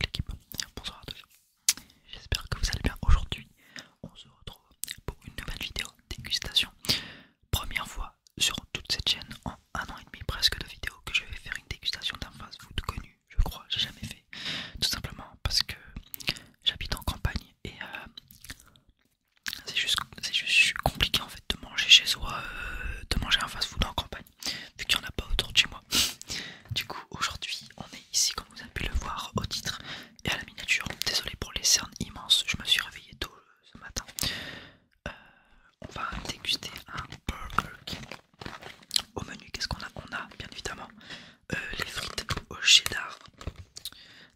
l'équipe, bonsoir à tous, j'espère que vous allez bien. Aujourd'hui on se retrouve pour une nouvelle vidéo dégustation. Première fois sur toute cette chaîne en un an et demi presque de vidéos que je vais faire une dégustation d'un fast food connu, je crois, j'ai jamais fait. Tout simplement parce que j'habite en campagne et euh, c'est juste, juste compliqué en fait de manger chez soi, euh, de manger un fast-food en campagne, vu qu'il n'y en a pas autour de chez moi. Du coup, aujourd'hui, on est ici, comme vous avez pu le voir au titre et à la miniature. Désolé pour les cernes immenses, je me suis réveillé tôt euh, ce matin. Euh, on va déguster un Burger Au menu, qu'est-ce qu'on a On a bien évidemment euh, les frites au cheddar.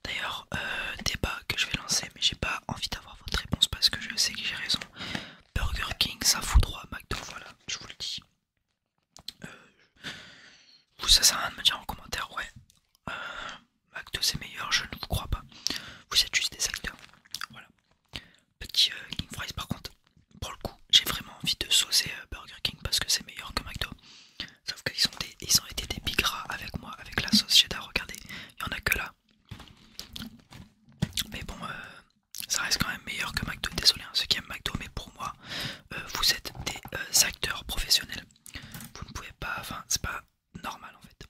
D'ailleurs, euh, débat que je vais lancer, mais j'ai pas envie d'avoir votre réponse parce que je sais que j'ai raison. Burger King, ça fout droit, McDo, voilà, je vous le dis. Euh, vous, ça sert à rien de me dire en commentaire, ouais, McDo c'est meilleur, je ne vous crois pas. Vous êtes juste des acteurs. Petit King Fries, par contre, pour le coup, j'ai vraiment envie de saucer Burger King parce que c'est meilleur que McDo. Sauf qu'ils ont, ils ont été des bigras avec moi, avec la sauce cheddar. Regardez, il n'y en a que là. Mais bon, euh, ça reste quand même meilleur que McDo. Désolé, hein, ceux qui aiment McDo, mais pour moi, euh, vous êtes des euh, acteurs professionnels. Vous ne pouvez pas, enfin, c'est pas normal en fait.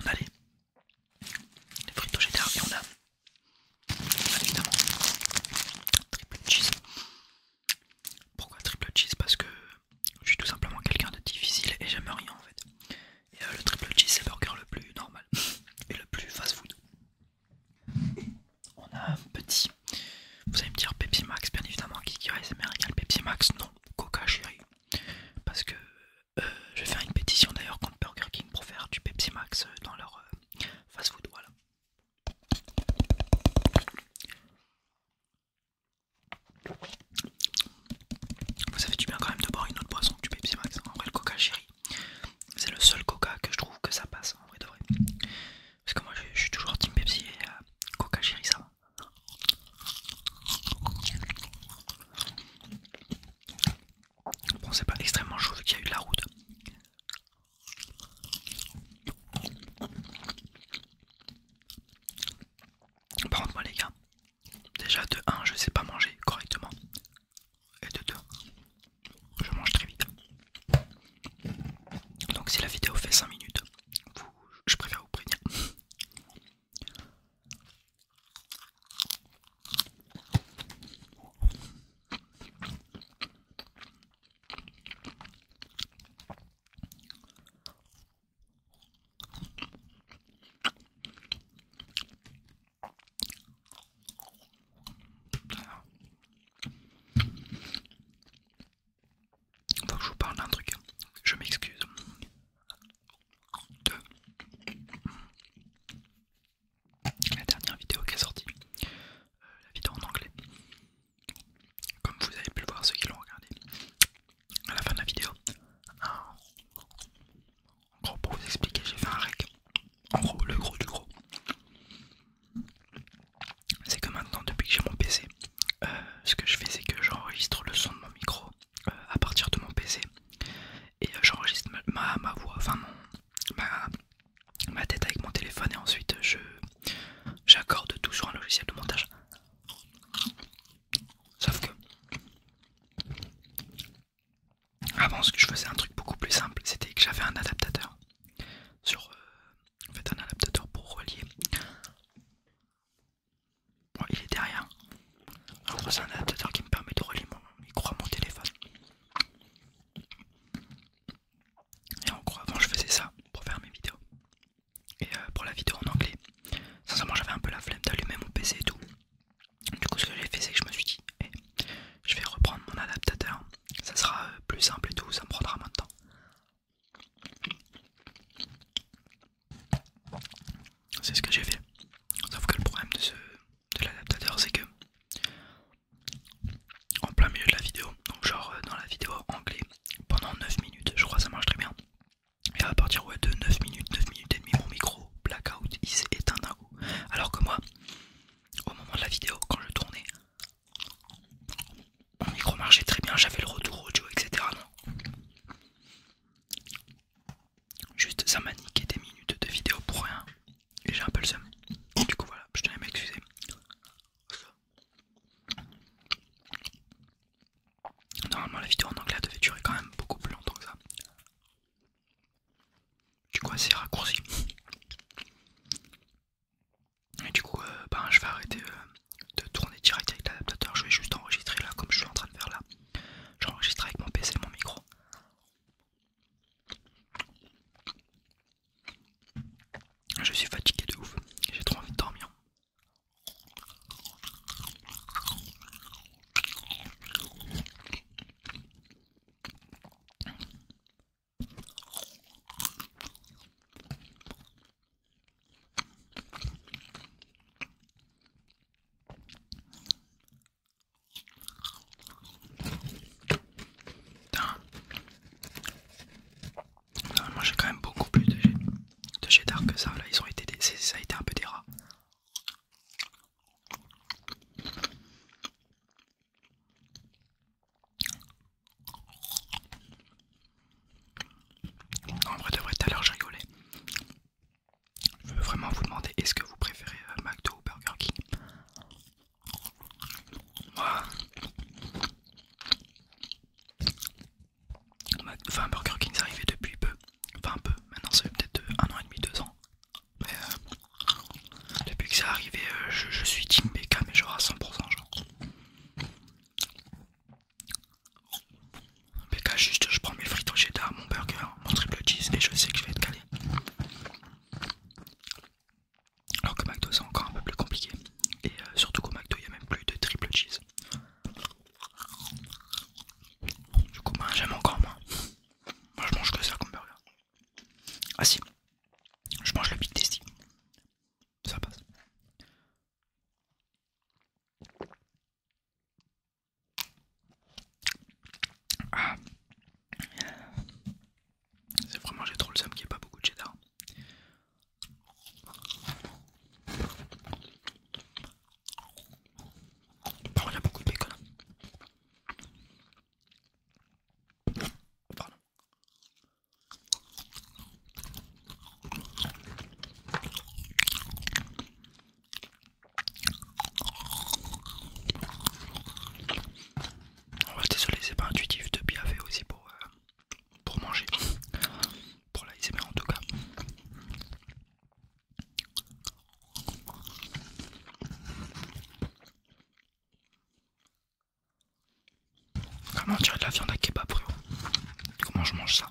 On a les, les frites au cheddar et on a évidemment. Triple cheese. Pourquoi triple cheese Parce que je suis tout simplement quelqu'un de difficile et j'aime rien en fait. Et euh, le triple cheese c'est le burger le plus normal et le plus fast food. On a un petit. Vous allez me dire Pepsi Max, bien évidemment, qui et c'est Pepsi Max, non, Coca chérie. Parce que euh, je vais faire une pétition d'ailleurs contre Burger King pour faire du Pepsi Max euh, dans leur fast food, voilà. Vous avez du bien quand même de boire une autre boisson du Pepsi Max. Hein. En vrai, le coca chéri, c'est le seul coca que je trouve que ça passe. En vrai, de vrai. Parce que moi, je, suis toujours team Pepsi et euh, coca chéri, ça va. Bon, c'est pas extrêmement chaud vu qu'il y a eu la route. Par contre, moi les gars, déjà de 1, je sais pas manger correctement. Et de 2, je mange très vite. Donc si la vidéo fait 5 minutes, je préfère vous prévenir. Faut que je vous parle d'un truc, je m'excuse la dernière vidéo qui est sortie, euh, la vidéo en anglais. Comme vous avez pu le voir, ceux qui l'ont regardé, à la fin de la vidéo, en gros pour vous expliquer, j'ai fait un rec. En gros, le gros du gros, c'est que maintenant, depuis que j'ai mon PC, euh, ce que je fais, c'est que j'enregistre le son de mon micro euh, à partir de mon PC et euh, j'enregistre ma, voix, enfin ma, ma tête avec mon téléphone et ensuite euh, je j'accorde tout sur un logiciel de montage. Sauf que avant ce que je faisais un truc beaucoup plus simple, c'était que j'avais un adaptateur sur euh, en fait un adaptateur pour relier. Bon, il est derrière. c'est un adaptateur qui me permet de relier mon micro à mon téléphone. Et en gros, avant je faisais ça pour faire mes vidéos. Et euh, pour la vidéo en anglais, sincèrement j'avais un peu la flemme d'allumer mon PC et tout. Du coup, ce que j'ai fait, c'est que je me suis dit, eh, je vais reprendre mon adaptateur, ça sera euh, plus simple et tout, ça me prendra moins de temps. C'est ce que j'ai fait. Sauf que le problème de ce, de l'adaptateur, c'est que en plein milieu de la vidéo, donc genre euh, dans la vidéo anglais, pendant 9 minutes, je crois ça marche très bien. Et à partir de 9 minutes, 9 minutes et demie, mon micro blackout il s'éteint. Alors que moi, au moment de la vidéo, quand je tournais, mon micro marchait très bien, j'avais le retour audio, etc. Juste ça m'a niqué des minutes de vidéo pour rien et j'ai un peu le seum. Du coup voilà, je tiens à m'excuser. Normalement la vidéo en anglais devait durer quand même beaucoup plus longtemps que ça. Du coup assez raccourci. Et du coup euh, ben, je vais arrêter euh, de tourner direct avec l'adaptateur, je vais juste enregistrer là comme je suis en train de faire là. J'enregistre avec mon PC et mon micro. Je suis fatigué de ouf, j'ai trop envie de dormir moi j'ai quand même beaucoup plus de, de d'art que ça. Là, ils ont été ça a été un peu des rats. en vrai, devrait tout à l'heure, je rigolais je veux vraiment vous demander est-ce que vous préférez euh, McDo ou Burger King enfin Burger King c'est arrivé depuis peu, enfin un peu, maintenant ça fait peut-être euh, un an et demi, deux ans. Mais euh, depuis que c'est arrivé, je, suis Team BK mais genre à 100% genre. PK juste je prends mes frites au cheddar, mon burger, mon triple cheese et je sais que je vais être calé. Alors que McDo c'est encore un peu plus compliqué. Et euh, surtout qu'au McDo il n'y a même plus de triple cheese. Du coup moi bah, j'aime encore moins. Moi je mange que ça comme burger. Ah si, je mange le Big testy Ça passe. C'est vraiment j'ai trop le seum qui est pas beaucoup de cheddar. Il on a beaucoup de bacon. Oh, désolé, c'est pas intuitif de faire aussi pour, euh, pour manger. Pour la mais en tout cas. Comment tirer de la viande à kebab, frérot Comment je mange ça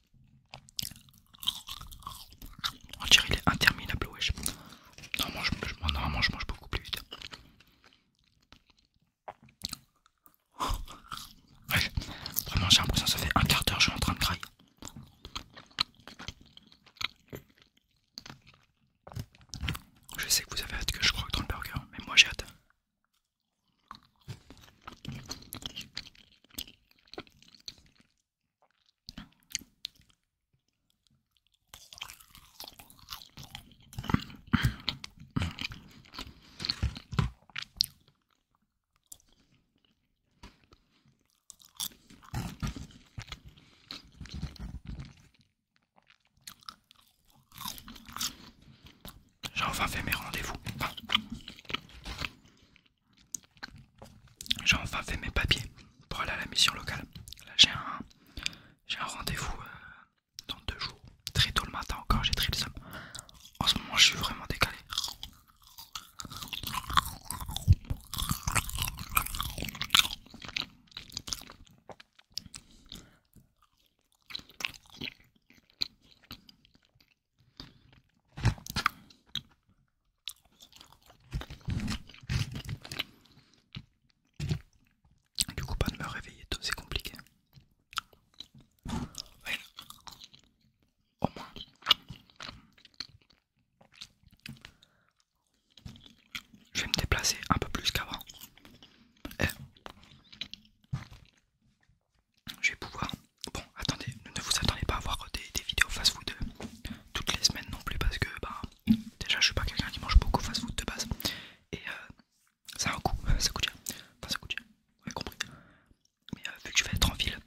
On oh, dirait qu'il est interminable, Ouais. Normalement, je mange beaucoup plus vite. Oh. vraiment, j'ai l'impression que ça fait un quart d'heure je suis en train de crier Je sais que vous avez hâte que je croque dans le burger, mais moi j'ai hâte. J'ai enfin fait mes rendez-vous. J'ai enfin fait mes papiers pour aller à la mission locale. Là j'ai un, rendez-vous euh, dans deux jours. Très tôt le matin encore, j'ai très le En ce moment je suis vraiment décalé. Du coup, pas de me réveiller tout c'est compliqué. au moins. Je vais me déplacer un peu plus qu'avant. Eh je vais pouvoir. Bon, attendez, ne vous attendez pas à voir des, vidéos fast-food toutes les semaines non plus parce que bah déjà je suis pas quelqu'un qui mange beaucoup fast-food de base et euh, ça a un coût, ça coûte cher. Enfin ça coûte cher, vous avez compris. Mais euh, vu que je vais être en ville,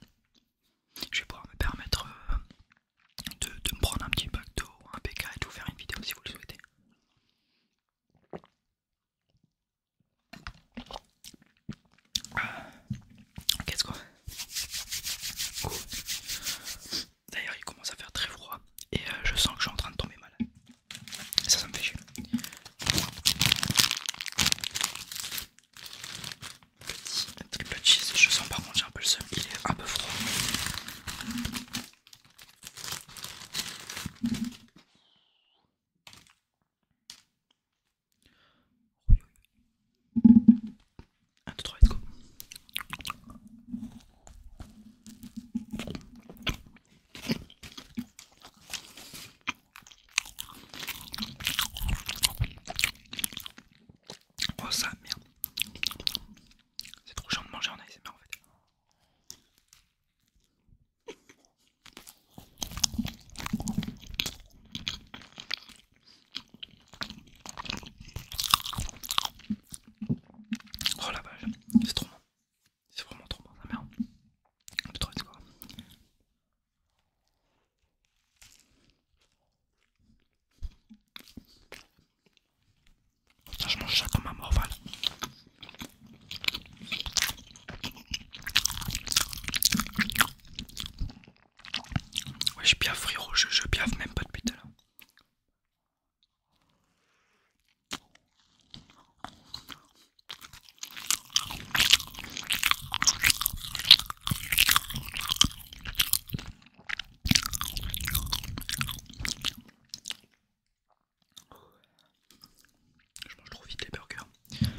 je vais pouvoir me permettre euh, de, me prendre un petit pacto un PK et de vous faire une vidéo si vous le souhaitez. Qu'est-ce quoi D'ailleurs, il commence à faire très froid et euh, je sens que je suis en train de tomber mal Ça, ça me fait chier. triple cheese. Je sens par contre j'ai un peu le seum. Il est un peu froid. 1, 2, 3, let's go. Oh ça merde. C'est trop chiant de manger en ASMR en fait. Oh la vache, c'est trop bon. C'est vraiment trop bon, ça merde. De trop quoi. Putain, je mange ça comme un morval. Ouais, je bien je, je même pas depuis tout à l'heure. Je mange trop vite les burgers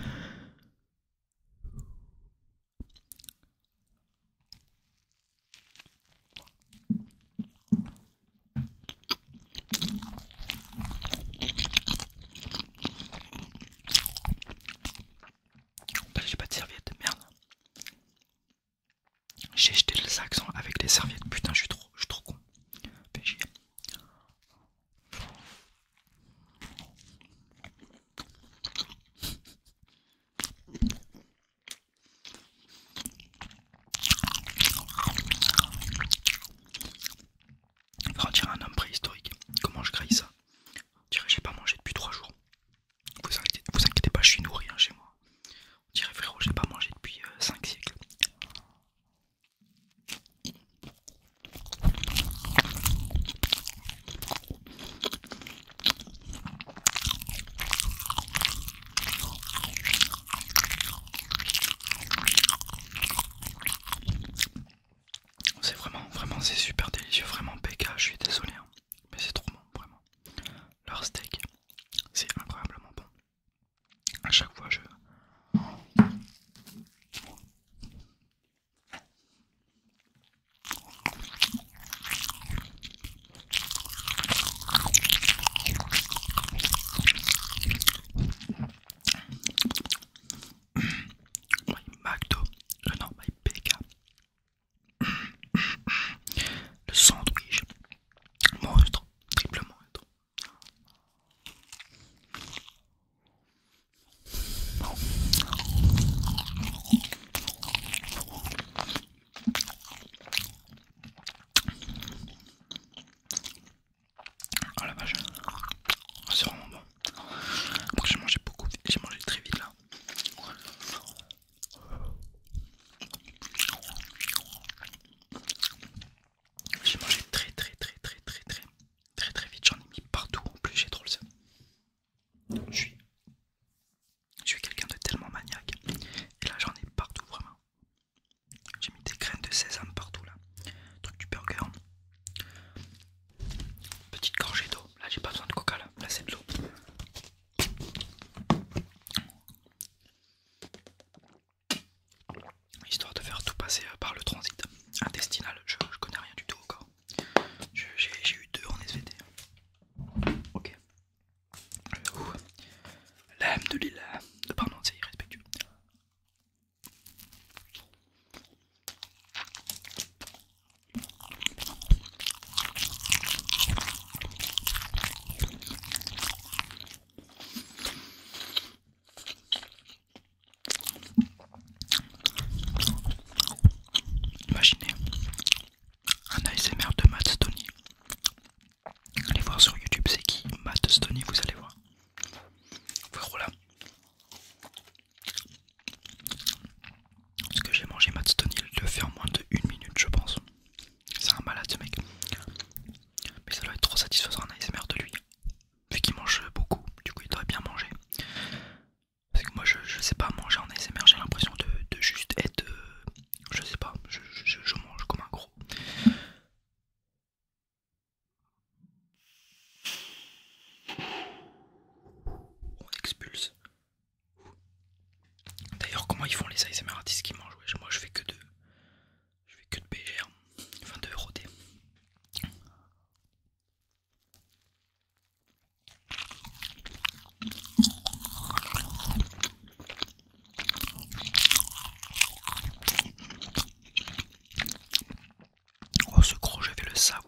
j'ai pas de serviette, merde. J'ai jeté le saxon avec les serviettes, putain, je suis trop, je suis trop con on dirait un homme préhistorique. Comment je grille ça On dirait j'ai pas mangé depuis 3 jours. Vous inquiétez, pas, je suis nourri hein, chez moi. On dirait frérot, j'ai pas mangé depuis 5 euh, siècles. C'est vraiment, vraiment, c'est super délicieux, vraiment PK, je suis désolé, hein. mais c'est trop bon, vraiment. Leur steak, c'est incroyablement bon. À chaque fois, je... My McDo, le euh, non, My PK, le sandwich, monstre, triple monstre. Ah la vache, c'est vraiment bon. Après, j'ai mangé beaucoup, j'ai mangé très vite là. J'ai mangé très très très très très très très vite, j'en ai mis partout, en plus j'ai trop le seum. Je suis, je suis quelqu'un de tellement maniaque, et là j'en ai partout vraiment. J'ai mis des graines de sésame partout là, truc du burger. Petite gorgée d'eau, là j'ai pas besoin de coca là, là c'est de l'eau histoire de faire tout passer euh, par le transit intestinal. Je, connais rien du tout encore. J'ai eu deux en SVT. Ok. Euh, L'âme de l'île. Pardon, c'est irrespectueux. Imaginez un ASMR de Matt Stoney. Allez voir sur YouTube, c'est qui Matt Stoney, vous allez voir. voilà, là. Ce que j'ai mangé Matt Stoney, il le fait en moins de 1 minute, je pense. C'est un malade ce mec. Mais ça doit être trop satisfaisant un ASMR de lui vu qu'il mange beaucoup, du coup il devrait bien manger. Parce que moi je, sais pas manger en ASMR, j'ai l'impression de, juste être. Euh, je sais pas, je, mange comme un gros. On expulse. D'ailleurs, comment ils font les ASMR artistes qui mangent Moi je fais que deux je vais que de BGR, enfin de ROD. Oh, ce gros, je vais le savourer.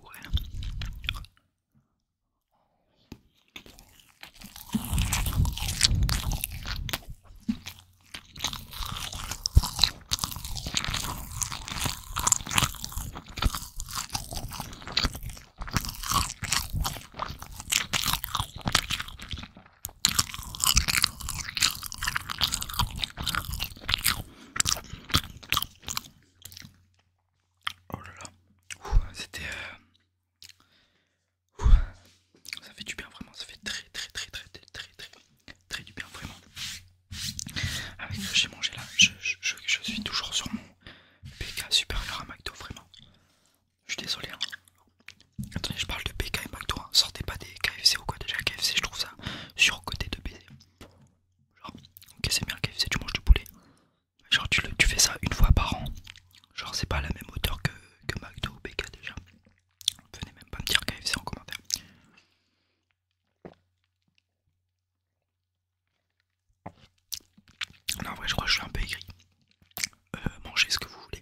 Oh là là, c'était... Euh, ça fait du bien vraiment, ça fait très très très très très très très très du bien, vraiment. Avec ce que j'ai mangé là, je, suis toujours sur mon PK supérieur à McDo, vraiment. Je suis désolé. Hein. Attendez, je parle de PK et McDo, hein. sortez pas des KFC ou quoi. Déjà, KFC, je trouve ça surcoté de baiser. Genre, ok, c'est bien KFC, tu manges du poulet. Genre, tu, tu fais ça une fois par an. Genre, c'est pas à la même hauteur que, que McDo ou BK déjà. Venez même pas me dire KFC en commentaire. Non, en vrai, je crois que je suis un peu aigri. Manger euh, mangez ce que vous voulez,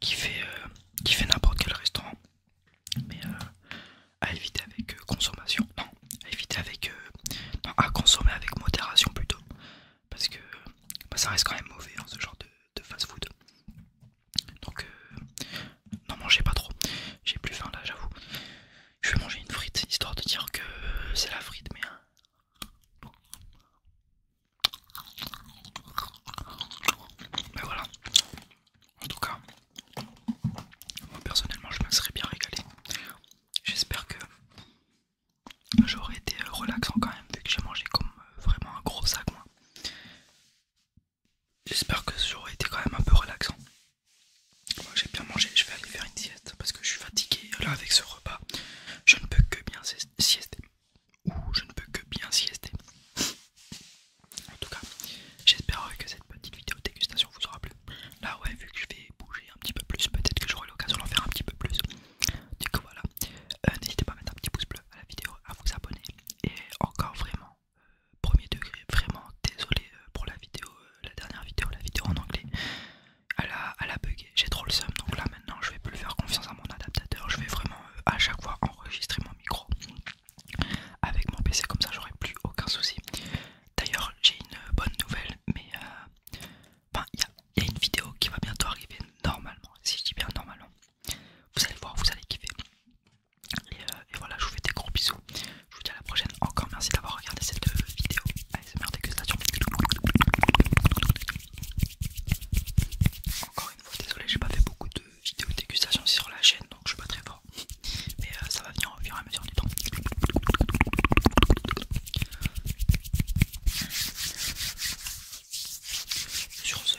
qui fait, euh, qui fait n'importe quel restaurant, mais euh, à éviter avec consommation. Non, à éviter avec. à consommer avec modération plutôt, parce que bah, ça reste quand même mauvais en hein, ce genre de fast-food. Donc, euh, non, n'en mangez pas trop. J'ai plus faim là, j'avoue. Je vais manger une frite histoire de dire que c'est la frite, mais. Mais euh, ben voilà. En tout cas, moi personnellement, je me serais bien régalé. J'espère que j'aurais été relaxant quand même, vu que j'ai mangé comme euh, vraiment un gros sac. Moi. J'espère que ce jour a été quand même un peu relaxant. Moi j'ai bien mangé, je vais aller faire une sieste parce que je suis fatigué. Là avec ce repas, je ne peux que bien siester. Ou je ne peux que bien siester. En tout cas, j'espère que cette petite vidéo dégustation vous aura plu. Là ouais, vu que je vais bouger un petit peu plus, peut-être que j'aurai l'occasion d'en faire un petit peu plus. Du coup voilà, euh, n'hésitez pas à mettre un petit pouce bleu à la vidéo, à vous abonner et encore vraiment euh, premier degré vraiment désolé euh, pour la vidéo euh, la dernière vidéo la vidéo en anglais elle a, bugué j'ai trop le seum donc là maintenant je vais plus faire confiance à mon adaptateur je vais vraiment à chaque fois enregistrer mon micro avec mon pc comme ça j'aurai plus aucun souci d'ailleurs j'ai une bonne nouvelle mais il y a une vidéo qui va bientôt arriver normalement si je dis bien normalement vous allez voir, vous allez kiffer. Euh, et, voilà, je vous fais des gros bisous. Je vous dis à la prochaine. Encore merci d'avoir regardé cette euh, vidéo. meilleure dégustation. Encore une fois, désolé, j'ai pas fait beaucoup de vidéos dégustation sur la chaîne donc je suis pas très fort. Mais euh, ça va venir au fur et à mesure du temps. Sur ce,